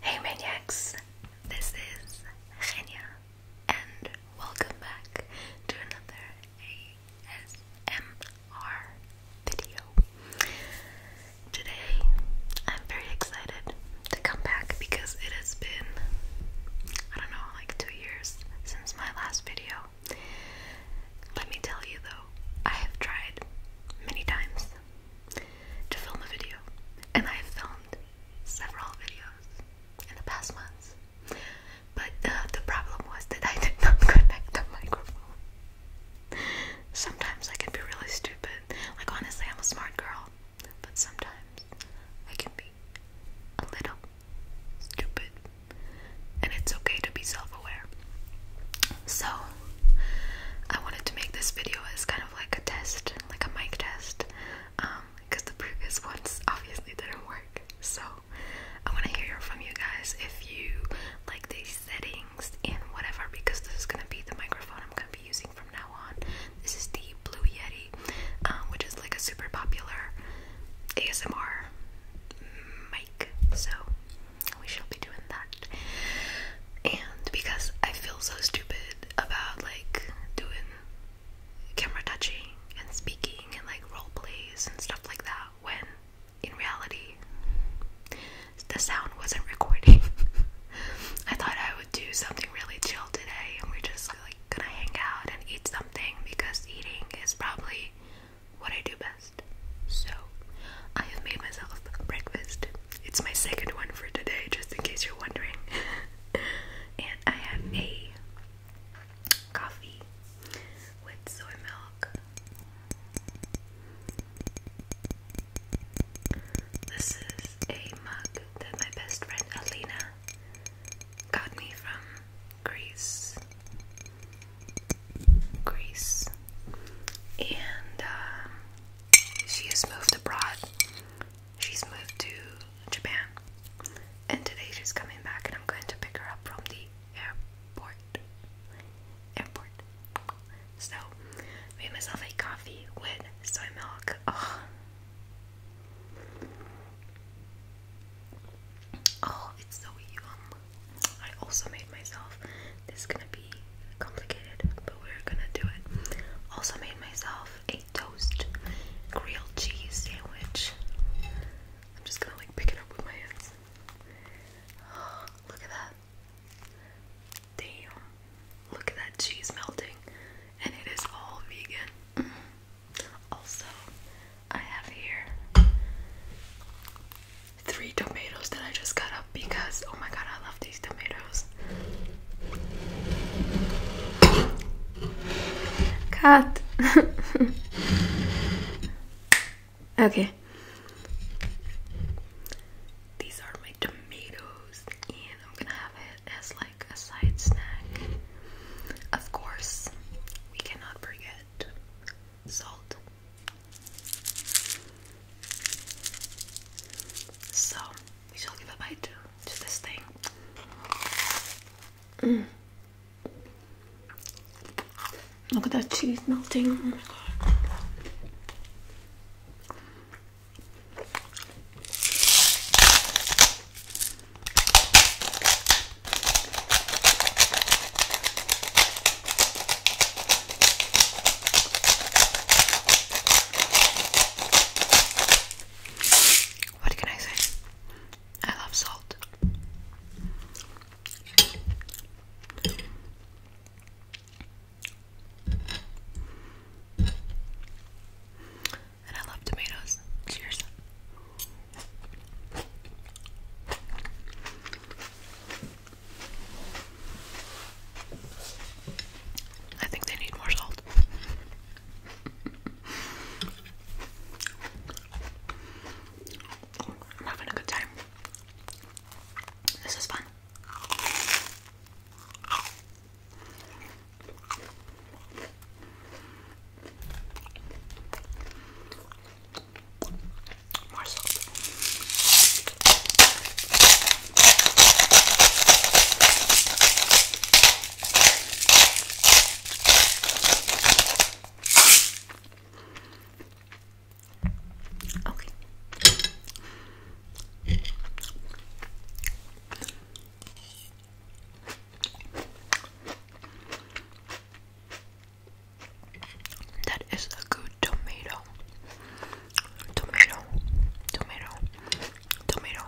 Hey Maniacs, this is Genia, and welcome back to another ASMR video. Today, I'm very excited to come back because it has been, I don't know, like two years since my last video. Let me tell you though, I have tried many times to film a video, and I've filmed several videos in the past months. But uh, the problem was that I did not connect the microphone. Sometimes I can be really stupid. Like, honestly, I'm a smart girl, but sometimes I can be a little stupid. And it's okay to be self aware. So, I wanted to make this video as kind of like a test, like a mic test, because um, the previous ones obviously didn't work. So I want to hear from you guys if you like these settings and whatever, because this is gonna be the microphone I'm gonna be using from now on. This is the Blue Yeti, um, which is like a super popular ASMR mic. So we shall be and because I feel so stupid about like doing camera touching and speaking and like role plays and stuff like that when in reality the sound wasn't recording. I thought I would do something really chill today and we're just like gonna hang out and eat something because eating is probably what I do best. So I have made myself breakfast. It's my second one for today, just in case you're wondering. and I have a coffee with soy milk. This is a mug that my best friend Alina got me from Greece. Greece. And um, she has moved abroad. She's moved to Japan. And today she's coming back, and I'm going to pick her up from the airport. Airport. So, made myself a coffee with soy milk. Oh, oh it's so yum. I also made myself this is gonna be complicated, but we're gonna do it. Also made myself a toast grilled cheese sandwich. I'm just gonna like pick it up with my hands. look at that. Damn. Look at that cheese melting. And it is all vegan. Mm. Also, I have here three tomatoes that I just cut because oh my god, I love these tomatoes. Cut. okay. These are my tomatoes, and I'm gonna have it as like a side snack. Of course, we cannot forget salt. So, we shall give a bite to, this thing. Mm. Look at that cheese melting. Oh my god. What can I say? I love salt. And I love tomatoes. Cheers. I think they need more salt. I'm having a good time. This is fun. More salt. Okay. That is a good tomato tomato, tomato, tomato.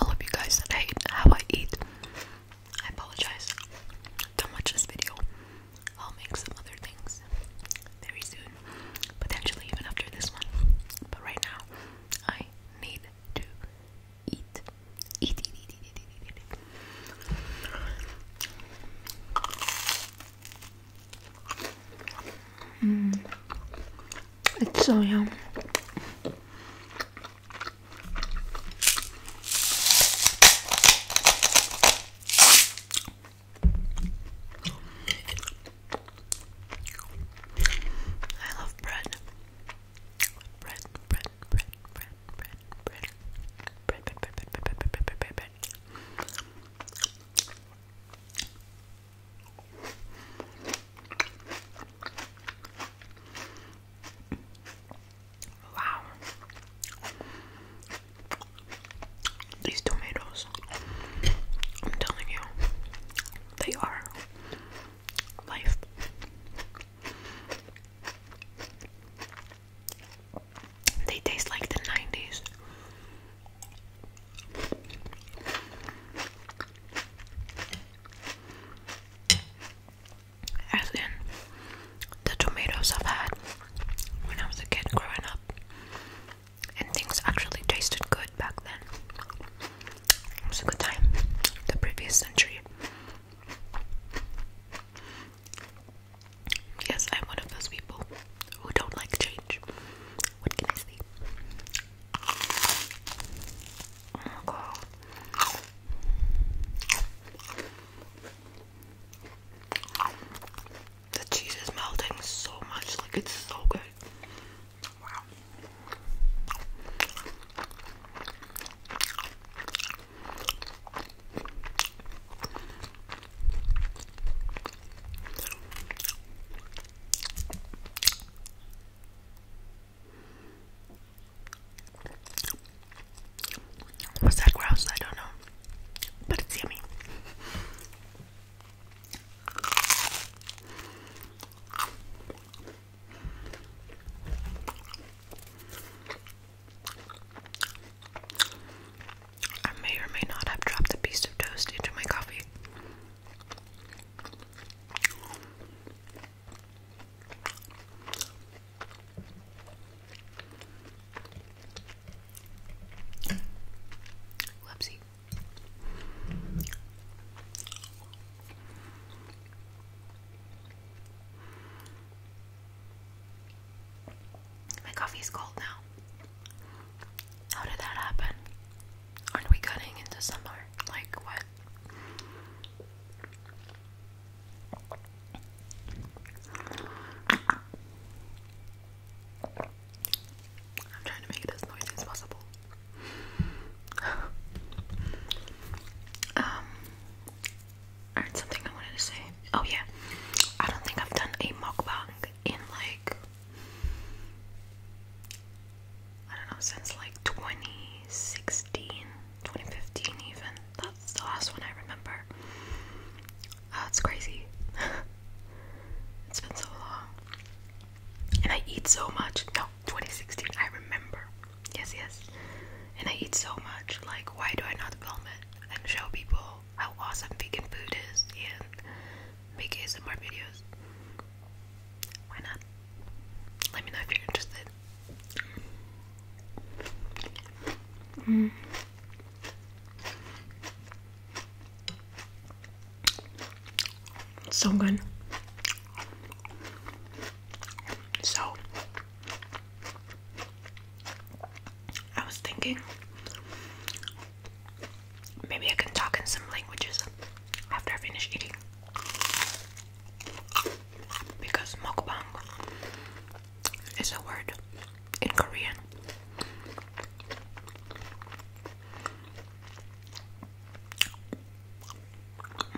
All of you guys that how I eat, I apologize. Don't watch this video. I'll make some other things very soon, potentially even after this one. But right now, I need to Eat, eat, eat, eat, eat, eat, eat, eat. Mm. It's so yum. I love bread. Bread, bread, Wow. These tomatoes, I'm telling you, they are life. They taste like the 90s. As in the tomatoes I've had when I was a kid growing up. And things actually tasted good back then. It was a good time, the previous century. Yes, I'm one of those people who don't like change. What can I say? Oh, the cheese is melting so much, like it's so good. Wow. What's that gross? I don't know, but it's yummy. I may or may not have dropped a piece of toast into my coffee. Whoopsie. My coffee is cold now. How did that happen? Aren't we cutting into summer? Like what? I'm trying to make it as noisy as possible. um, I heard something I wanted to say. Oh yeah, I don't think I've done a mukbang in like I don't know since like 2016, 2015 even. That's the last one I remember. Oh, it's crazy. it's been so long. And I eat so much. No, 2016, I remember. Yes, yes. And I eat so much. Like, why do I not film it? and show people how awesome vegan food is and make ASMR videos. Why not? Let me know if you're interested. So good. So I was thinking maybe I can talk in some languages after I finish eating because mukbang is a word in Korean.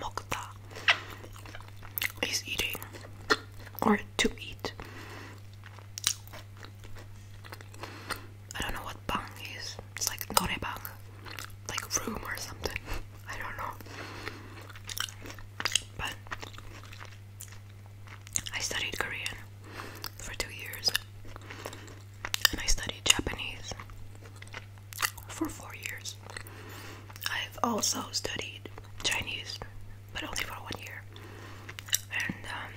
Mokta is eating or to eat. I don't know what bang is. It's like norebang, like room or something. I don't know. But I studied Korean for two years, and I studied Japanese for four years. I've also studied Chinese but only for one year. And um,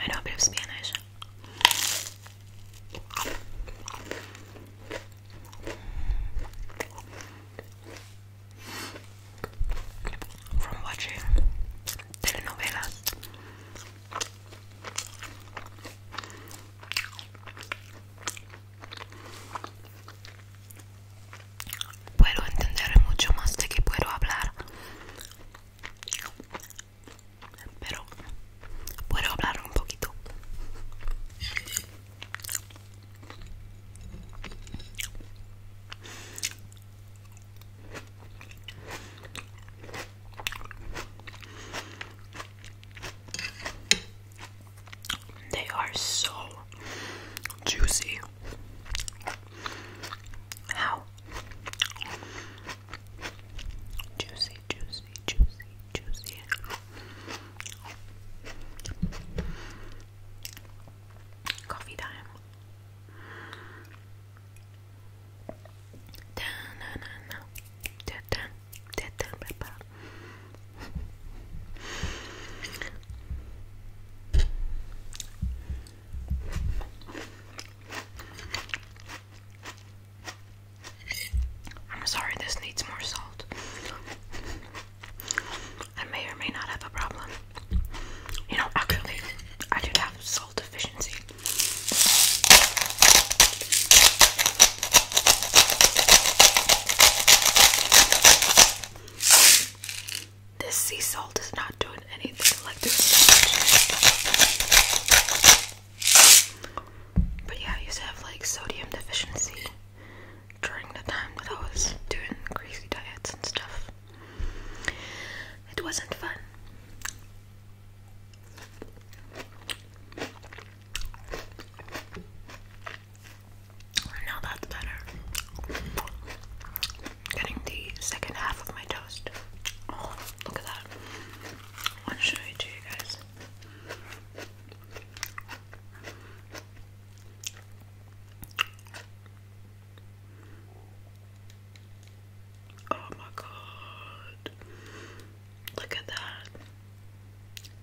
I know a bit of Spanish. From watching telenovelas. puedo entender mucho más de que puedo hablar pero puedo hablar un poquito They are so juicy. How juicy, juicy, juicy, juicy. Coffee time. I'm sorry, this needs more salt. I may or may not have a problem. You know, actually, I do have salt deficiency. This sea salt is not doing anything like this. But yeah, I used to have like sodium deficiency during the time that I was doing crazy diets and stuff. It wasn't fun. Now that's better. Getting the second half of my toast. Oh, look at that. I want to show it to you guys. Oh my god. Look at that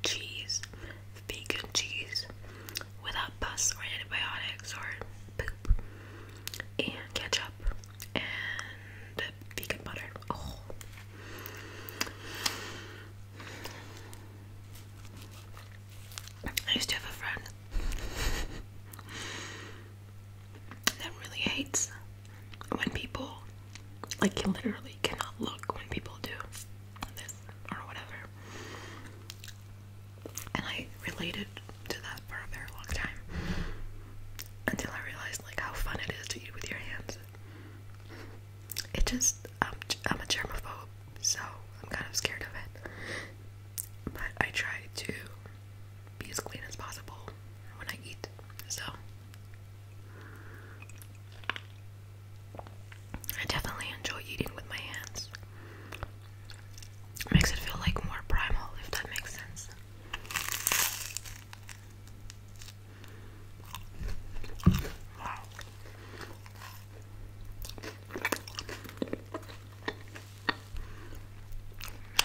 cheese, vegan cheese, without pus or antibiotics or poop, and ketchup and vegan butter. Oh. I used to have a friend that really hates when people, like, literally cannot look when people do this or whatever. And I related to that for a very long time until I realized like how fun it is to eat with your hands. It just I'm a germaphobe, so I'm kind of scared of it. But I try to be as clean as possible when I eat. So I definitely enjoy eating with my hands. Makes it feel like more primal, if that makes sense.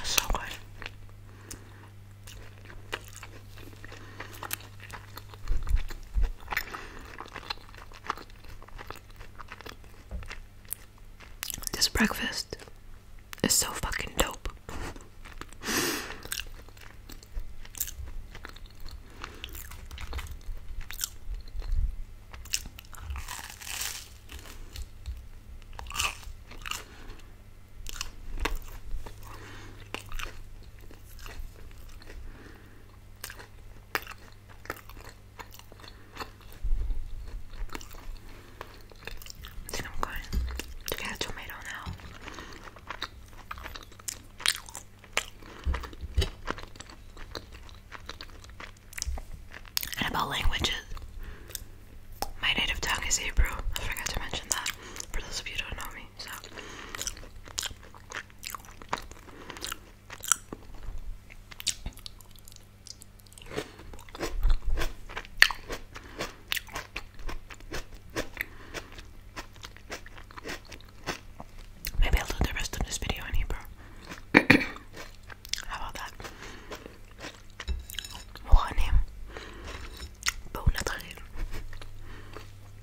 so good. This breakfast is so fucking dope. I think I'm going to get a tomato now. And about languages, my native tongue is Hebrew. I forgot to mention that for those of you don't know me. So, Maybe I'll do the rest of this video in Hebrew. How about that? One name. Bone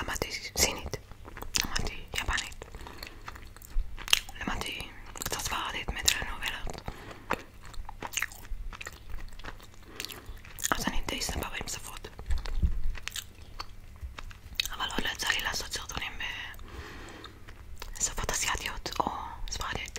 למדתי סינית, למדתי יפנית, למדתי קצת ספרדית מטלנובלות אז אני די סבבה עם שפות אבל עוד לא יצא לי לעשות סרטונים בשפות אסיאתיות או ספרדית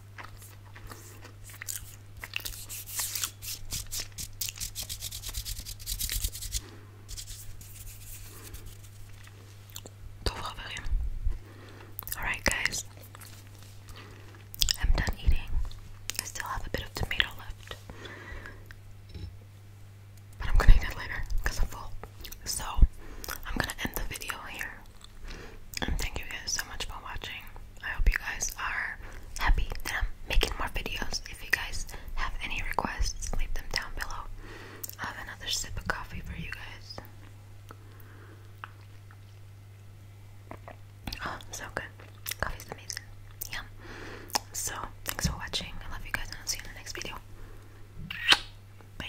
Don't Alright, guys. I'm done eating. I still have a bit of tomato left. But I'm gonna eat it later because I'm full. So, I'm gonna end the video here. And thank you guys so much for watching. I hope you guys are happy that I'm making more videos. If you guys have any requests, leave them down below. I have another sip of coffee for you guys. Oh, so good. Coffee's amazing. Yum. So, thanks for watching. I love you guys, and I'll see you in the next video. Bye.